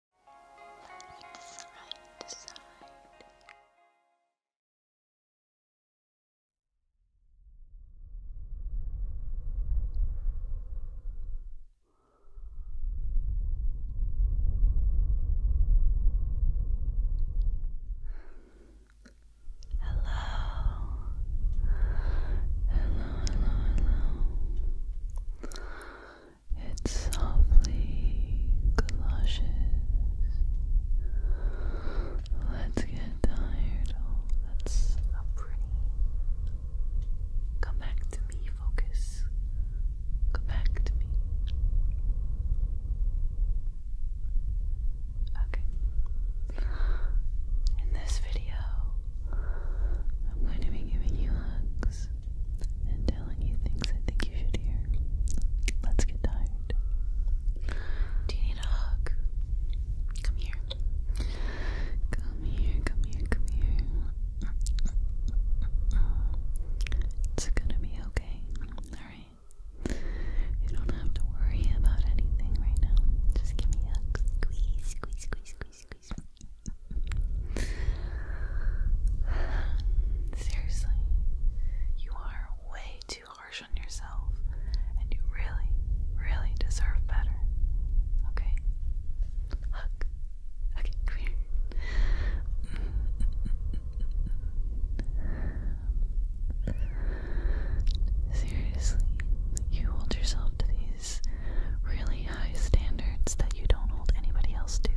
Look side to side. Hello, hello, hello. It softly clushes. Let's get tired. Oh, that's not Come back to me, focus. Come back to me. Okay. In this video, I'm going to be giving you hugs and telling you things I think you should hear. Let's get tired. Do you need a hug? Come here. Come here, come here, come here. It's gonna be okay. Alright. You don't have to worry about anything right now. Just give me a Squeeze, squeeze, squeeze, squeeze, squeeze. Seriously, you are way too harsh on yourself, and you really, really deserve better. Okay? Hug. Okay, come here. Seriously, you hold yourself to these really high standards that you don't hold anybody else to.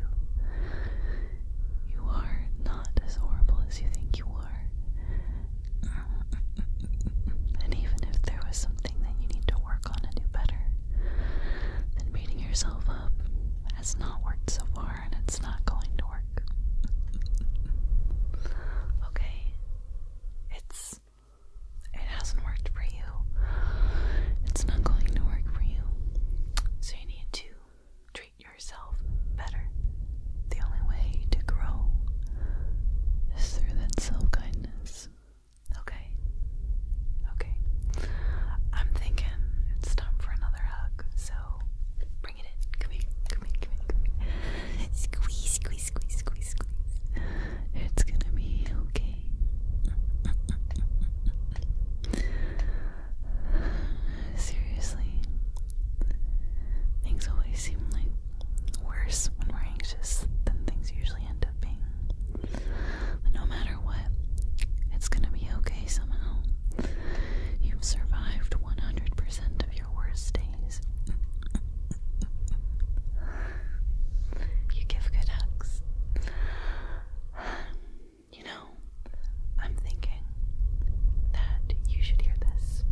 You are not as horrible as you think you are. and even if there was something that you need to work on and do better, then beating yourself up has not worked so far and it's not going to work. okay, it's it hasn't worked for you, it's not going to work for you. So you need to treat yourself better. The only way to grow is through that self kindness. Okay? Okay. I'm thinking it's time for another hug, so bring it in. Come here, come here, come here, come here. Squeeze, squeeze, squeeze, squeeze, squeeze. It's gonna be okay. Seriously, things always seem like worse when we're anxious than things usually end up being. But no matter what, it's gonna be okay somehow. You've survived 100 of your worst days. You give good hugs. You know, I'm thinking that you should hear this.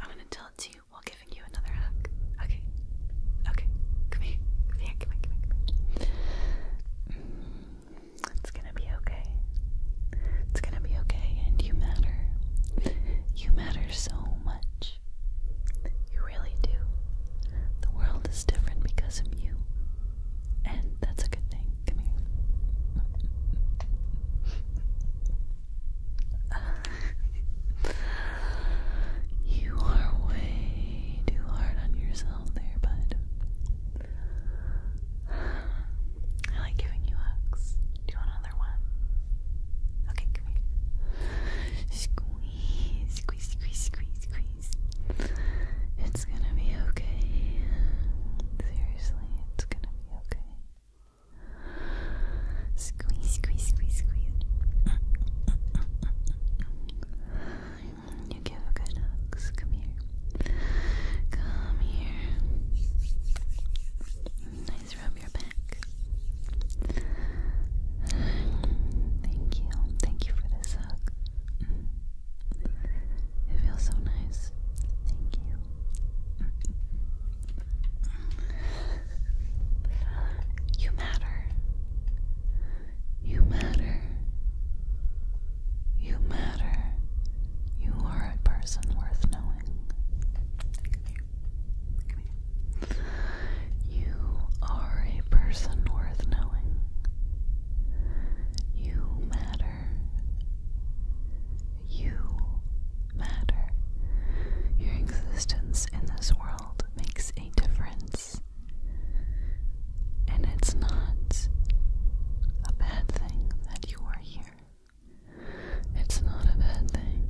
I'm gonna tell it to you while giving you another hug. Okay. Okay. Come here. Come here. Come here. Come here. It's gonna be okay. It's gonna be okay, and you matter. You matter so much. You really do. The world is different because of you. And that's a good thing. Come here. you are way too hard on yourself there, bud. I like giving you hugs. Do you want another one? Okay, come here squeeze, squeeze, squeeze, squeeze, squeeze. It's gonna be okay. Seriously, it's gonna be okay. Squeeze, squeeze, squeeze, squeeze. You give a good hugs. Come here. Come here. Nice, rub your back. Thank you. Thank you for this hug. Mm. It feels so nice. Thank you. You matter. You matter. You matter. You are a person worth knowing. You are a person worth knowing. You matter. You matter. Your existence in this world makes a difference. And it's not a bad thing that you are here. It's not a bad thing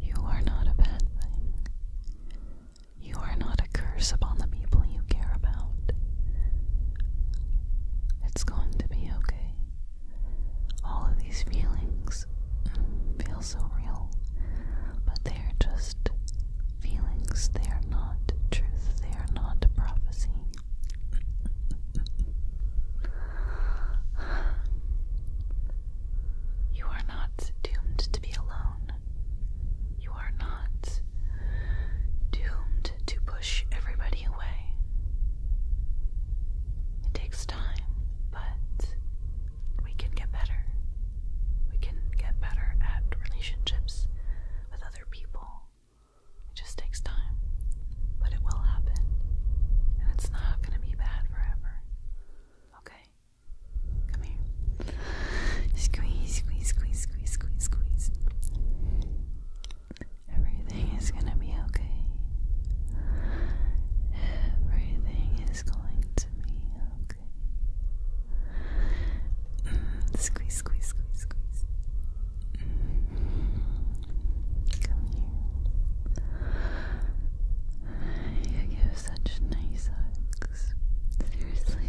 you are not a bad thing. You are not a curse upon the people you care about. It's going to be okay. All of these feelings feel so real, but they are just feelings. They are not truth. They are not prophecy. You are not doomed to be alone. You are not doomed to push everybody away. It takes time, but we can get better. We can get better at relationships with other people. It just takes time, but it will happen, and it's not going to be bad forever. Okay. Come here. Squeeze, squeeze, squeeze, squeeze, squeeze, squeeze. Everything is going to be okay. Everything is going to be okay. Mm, squeeze, squeeze, squeeze, squeeze. Mm. Come here. You give such nice hugs. Seriously.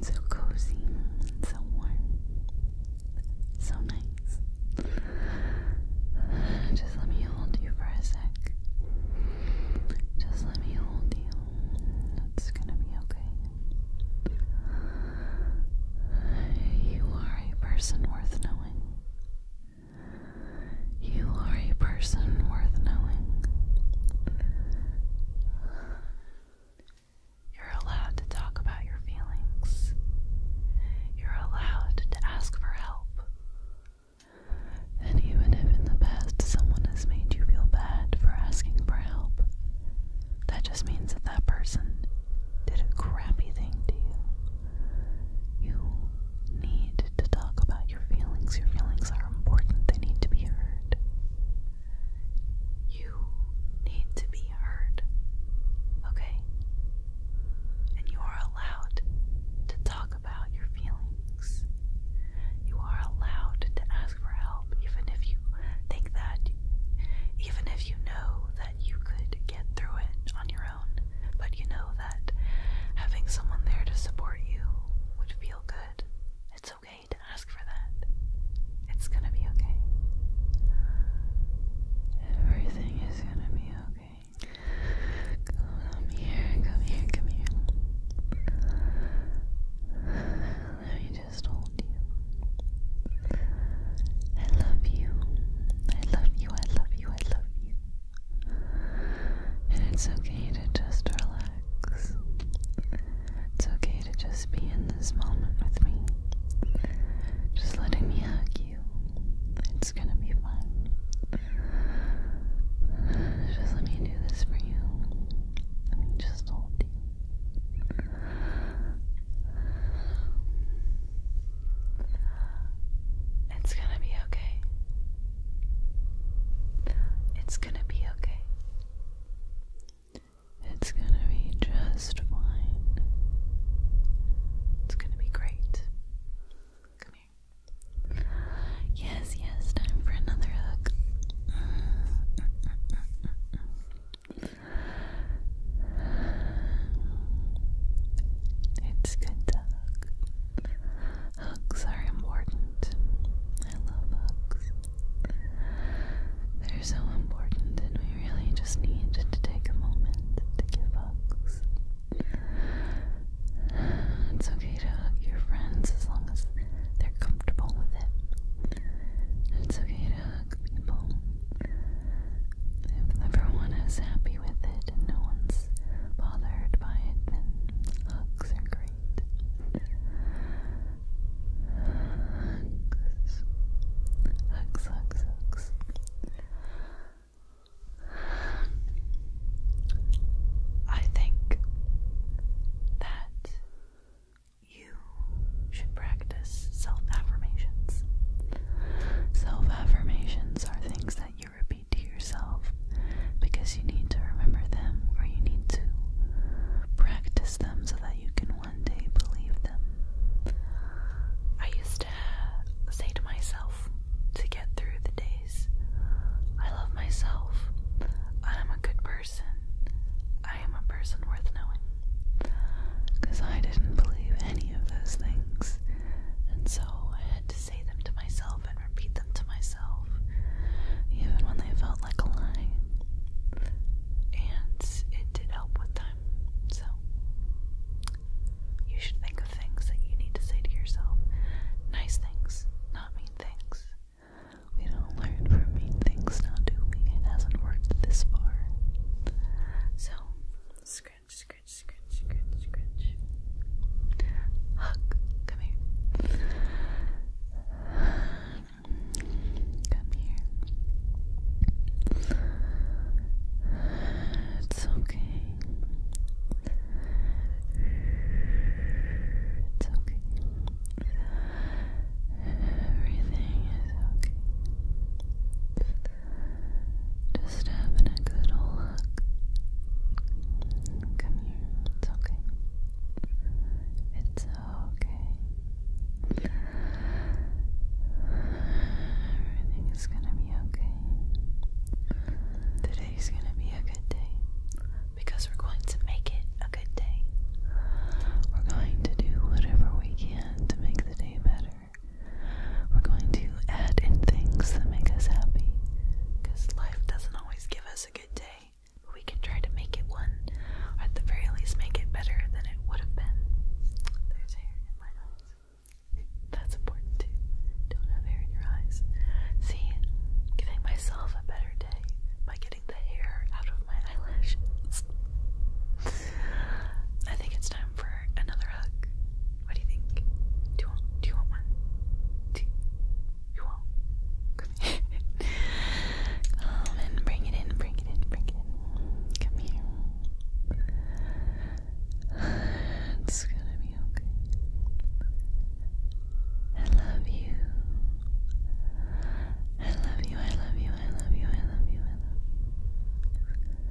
So cozy, so warm, so nice. Just let me hold you for a sec. Just let me hold you. It's gonna be okay. You are a person worth knowing. You are a person worth knowing. You're allowed to talk about your feelings. You're allowed to ask for help. And even if in the past someone has made you feel bad for asking for help, that just means that that person did a crappy thing to you. You need to talk about your feelings. Your feelings are important, they need to be heard. You need to be heard, okay? And you are allowed to talk about your feelings. You are allowed to ask for help, even if you think that, even if you know that you could get through it on your own but you know that having someone there to support you would feel good. It's okay to ask for that. It's gonna be okay. Everything is gonna be okay. Come here, come here, come here. Let me just hold you. I love you. I love you, I love you, I love you. And it's okay to just relax. It's okay to just be in this moment with me. Just letting me hug you. It's gonna be fine. Just let me do this for you. Let me just hold you. It's gonna be okay. It's gonna be okay. It's gonna be just fine. It's gonna be great. Yes, yes, time for another hug. It's good to hug. Hugs are important. I love hugs. They're so important, and we really just need to take a moment to give hugs. It's okay to hug your friends as long as they're comfortable with it. It's okay to hug people if everyone is happy with it no one's bothered by it, then hugs are great. Hugs, hugs, hugs. I think that you should practice self affirmations. Self affirmations are things that you repeat to yourself because you need to remember them or you need to practice them so that you can one day believe them. I used to uh, say to myself to get through the days, I love myself, I'm a good person, I am a person worth knowing. Because I didn't believe any of those things. And so I had to say them to myself and repeat them to myself, even when they felt like a lie. And it did help with time. So you should think of things that you need to say to yourself. Nice things, not mean things. We don't learn from mean things now, do we? It hasn't worked this far. So, scratch scratch, scratch, scratch, scratch. Hug, come here. Come here. It's okay. It's okay. Everything is okay. Just having a good old look. Come here. It's okay. It's okay. Everything gonna be okay. Today's gonna be a good day because we're going to make it a good day. We're going to do whatever we can to make the day better. We're going to add in things that make us happy. Because life doesn't always give us a good day, but we can try to make it one, or at the very least, make it better than it would have been. There's hair in my eyes. That's important too. Don't have hair in your eyes. See, giving myself a better day by getting the hair out of my eyelashes. I think it's time for another hug? What do you think? Do you want, do you want one? Come and bring it in, bring it in, bring it in. Come here. It's gonna be okay. I love you, I love you, I love you, I love you, I love you.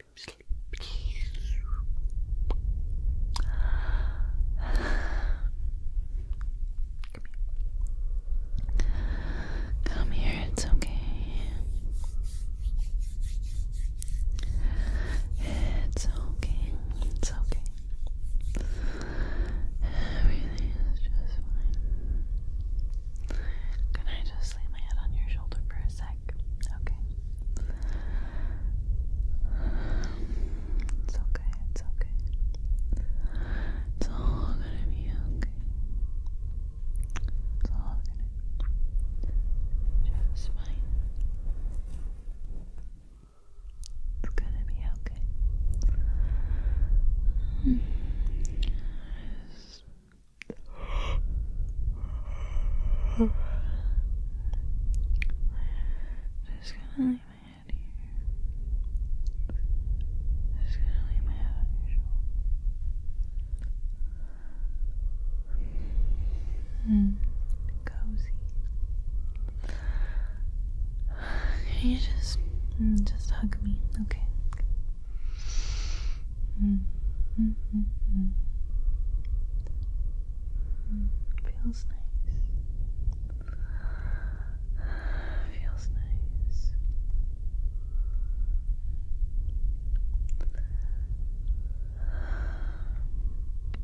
Come here. Come here, it's okay. It's okay, it's okay. Everything is just fine. Can I just lay my head on your shoulder for a sec? like. Okay. It's okay, it's okay. It's all gonna be okay. It's all gonna just fine. It's gonna be okay. Hmm. Just gonna lay my head here. Just gonna lay my head on your shoulder. cozy. you just, just hug me, okay? Mm. Mm -hmm -hmm. Feels nice. Feels nice.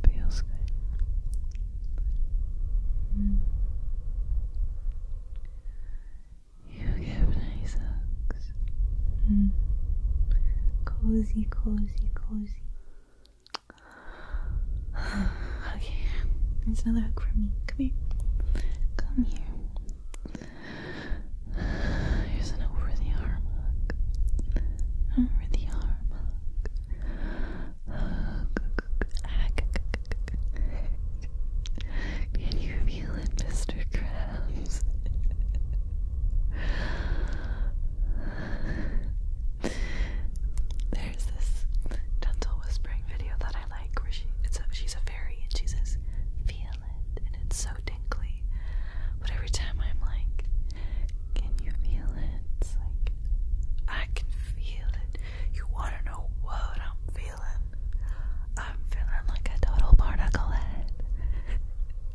Feels good. Mm. You give nice hugs. Mm. Cozy, cozy, cozy. okay, there's another hug for me. Come here. Come here. Here's an over the arm hug. Over the arm hug. Can you feel it, Mr. Crabs. There's this gentle whispering video that I like where she it's she's a fairy and she says, Feel it, and it's so dinkly. But every time I'm like, Can you feel it? It's like, I can feel it. You want to know what I'm feeling? I'm feeling like a total particle head.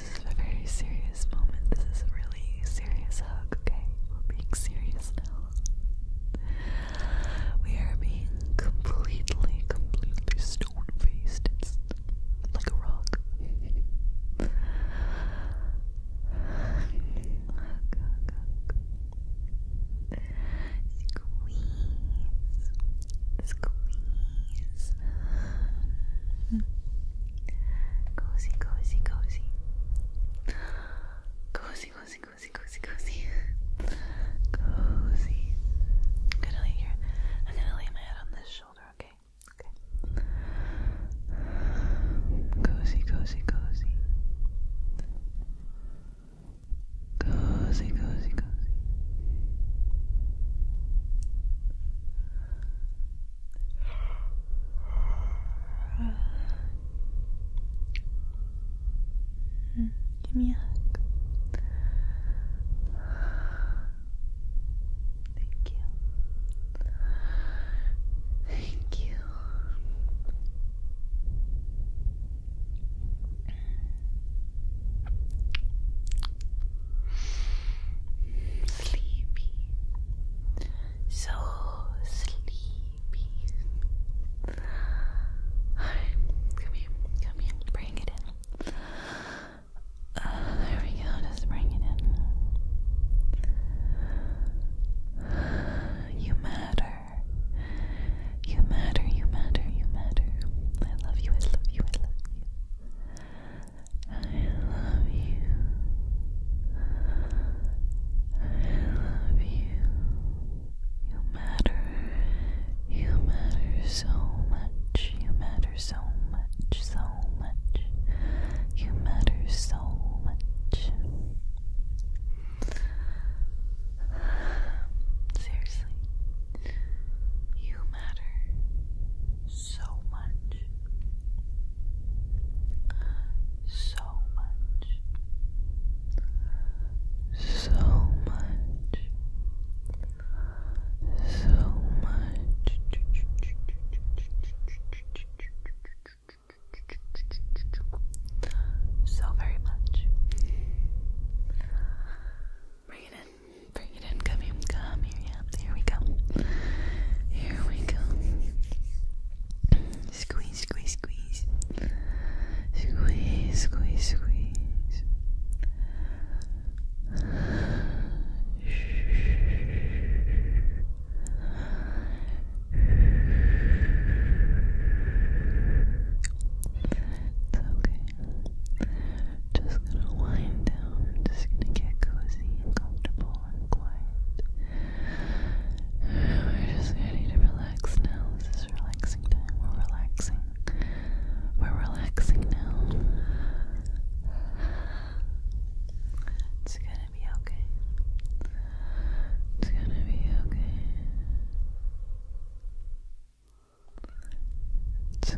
this is a very serious moment. This is a really serious hug, okay? We're being serious now. We are being completely, completely stone faced. It's like a rock. hug, hug, hug. Squeeze. Squeeze. Cozy, cozy, cozy. Cozy, cozy, cozy, cozy, cozy. Cozy. I'm gonna lay here. I'm gonna lay my head on this shoulder, okay? Okay. Cozy, cozy, cozy. Cozy, cozy, cozy give me a hug. Thank you. Thank you. Sleepy. So sleepy. come here, come here, bring it in. Uh, there we go, just bring it in. You matter. You matter, you matter, you matter. I love you, I love you, I love you. I love you. I love you. You matter. You matter so much. You matter so much, so much. You matter so much. Seriously, you matter so much, so much, so much, so much. So very much. Bring it in. Bring it Come here. Come here. Yeah. Here we go. Here we go. Squeeze, squeeze, squeeze. Squeeze, squeeze, squeeze. It's okay. Just gonna wind down. just gonna get cozy and comfortable and quiet. We're just ready to relax now. This is relaxing time. We're relaxing. We're relaxing now. It's gonna be okay. It's gonna be okay. It's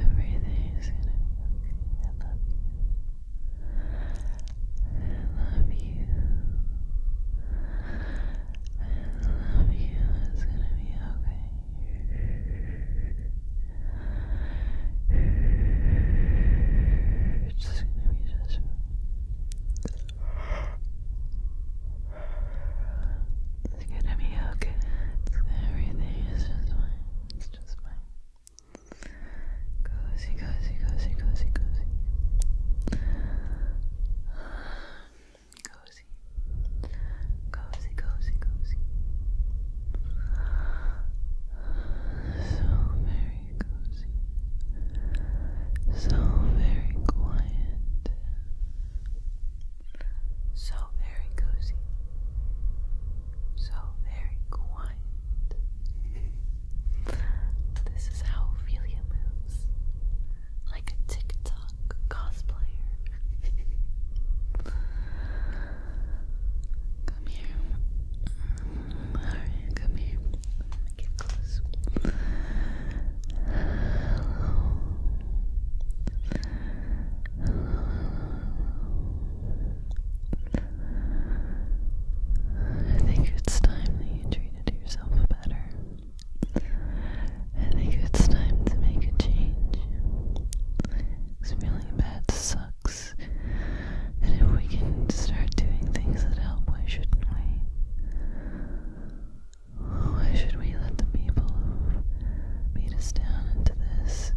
Everything's gonna be okay. I love you. I love you. It's gonna be okay. It's gonna be just it's gonna be okay. Everything is just fine just fine. Cozy, cozy, cozy, cozy, cozy. Cozy. Cozy, cozy, cozy. So very cozy. So very quiet. So very cozy. So very quiet. this is how Ophelia moves. Like a TikTok cosplayer. come here. Alright, come here. Get close. I think it's time that you treated yourself better. I think it's time to make a change. Because feeling bad sucks. And if we can start doing things that help, why shouldn't we? Why should we let the people beat us down into this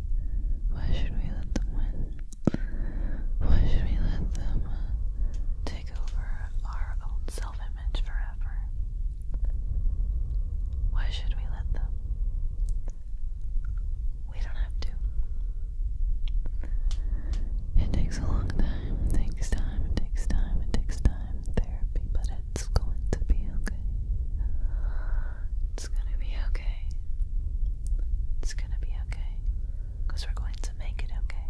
why should we let them win? Why should we let them uh, take over our own self image forever? Why should we let them? We don't have to. It takes a long time, it takes time, it takes time, it takes time therapy, but it's going to be okay. It's gonna be okay. It's gonna be okay. Because we're going to make it okay.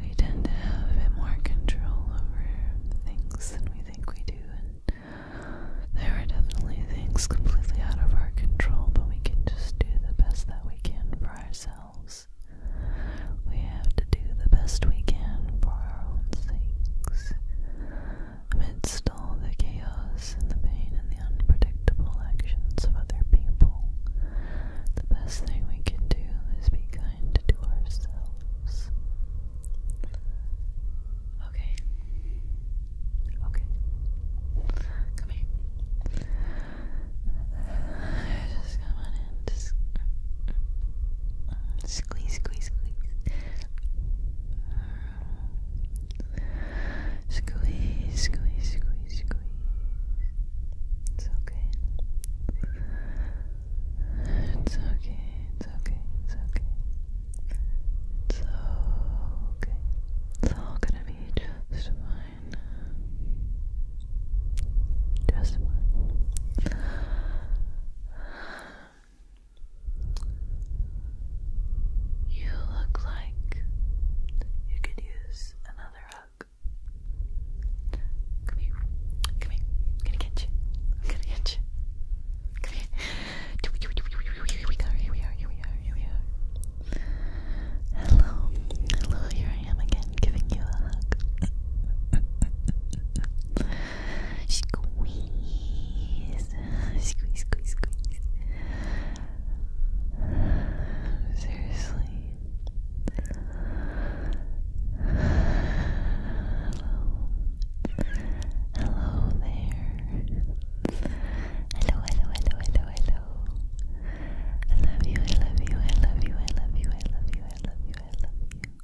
We tend to have more control over things than we think we do, and there are definitely things completely out of our control, but we can just do the best that we can for ourselves. We have to do the best we can for our own sakes amidst all the chaos and the pain and the unpredictable actions of other people. The best thing we can do is be kind to ourselves. Okay. Okay. Come here. Just come on in. Just, uh, uh, squeeze, squeeze, squeeze. Squeeze, squeeze, squeeze, squeeze. It's okay. It's okay, it's okay, it's okay. It's okay. It's all gonna be just fine. Just fine. You look like you could use another hug. Come here. Come here. I'm gonna get you. I'm gonna get you. Come here. Here we go. Here we are. Here we are. Here we are. Hello. Hello. Here I am again giving you a hug. Squeeze, squeeze, squeeze, squeeze. Seriously. Hello. Hello there. Hello, hello, hello, hello, hello. I love you, I love you, I love you, I love you, I love you, I love you, I love you.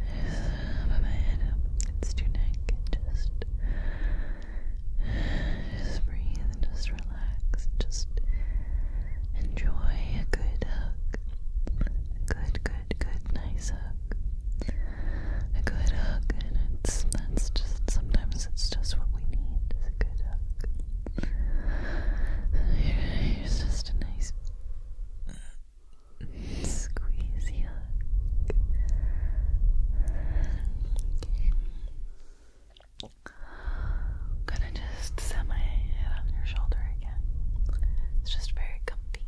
put my head up against your neck just just breathe just relax just enjoy a good hug good good good nice hug a good hug and it's that's just sometimes it's just what we need a good hug here's just a nice Squeeze your gonna just set my head on your shoulder again. It's just very comfy.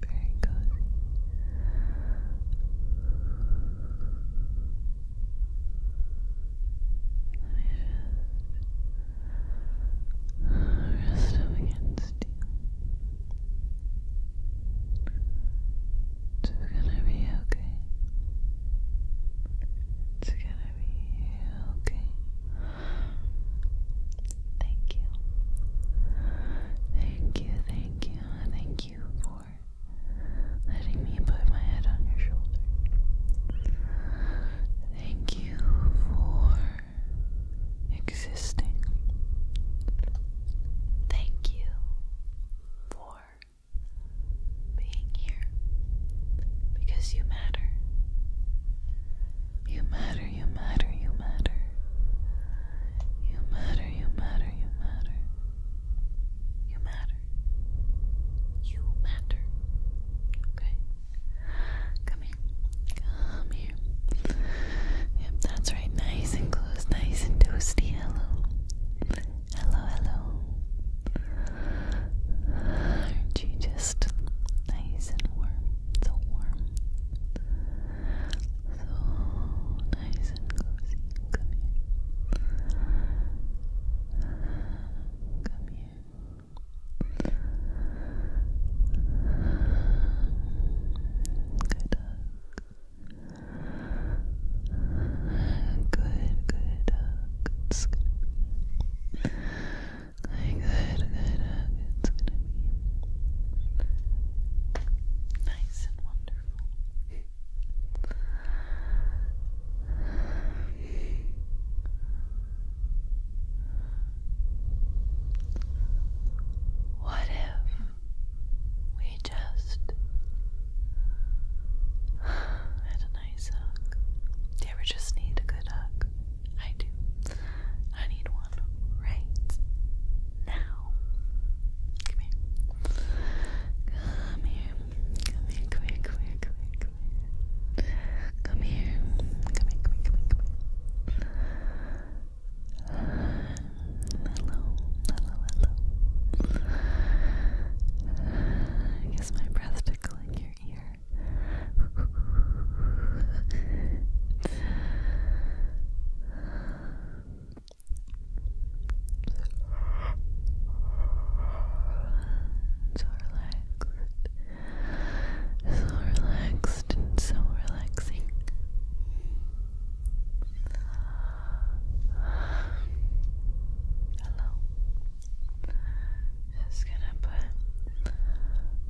Very cozy. Let rest against you. It's gonna be okay. It's gonna be okay. Thank you. Thank you, thank you, thank you for letting me put my head on your shoulder. Thank you for existing. Thank you for being here because you matter. You matter, you matter, you matter. You matter, you matter, you matter. You matter. Okay? Come here. Come here. Yep, that's right. Nice and close, nice and toasty. Hello. Hello, hello are you just nice and warm? So warm. So nice and cozy. Come here. Come here. Good dog. Good, good dog. It's Okay, good, good. Uh, it's gonna be nice and wonderful. What if we just had a nice hug? Do you ever just need a good hug? I do. I need one right now. Come here. Come here. Come here. Come here. Come here. Come here. Come here. Come here. Come here. hello. Hello. Hello. Uh, my breath tickling your ear. So relaxed. So relaxed and so relaxing. Hello. Just gonna put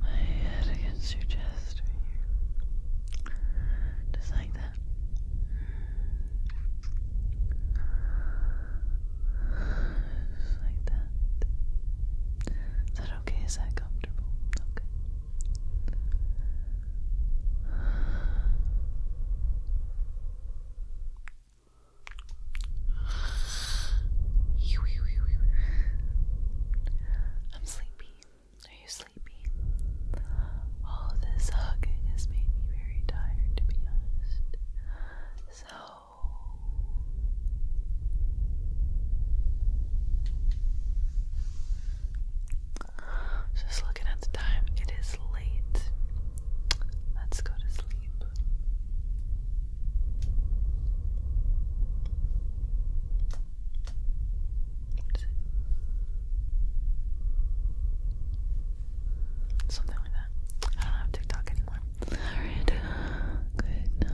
my head against your chest Just like that. Just like that. Is that okay? Is that comfortable? Okay. I'm sleepy. Are you sleepy? All this hugging has made me very tired, to be honest. So. Just looking at the time, it is late. Let's go to sleep. Something like that. I don't have TikTok anymore. Alright. Good night. Good night.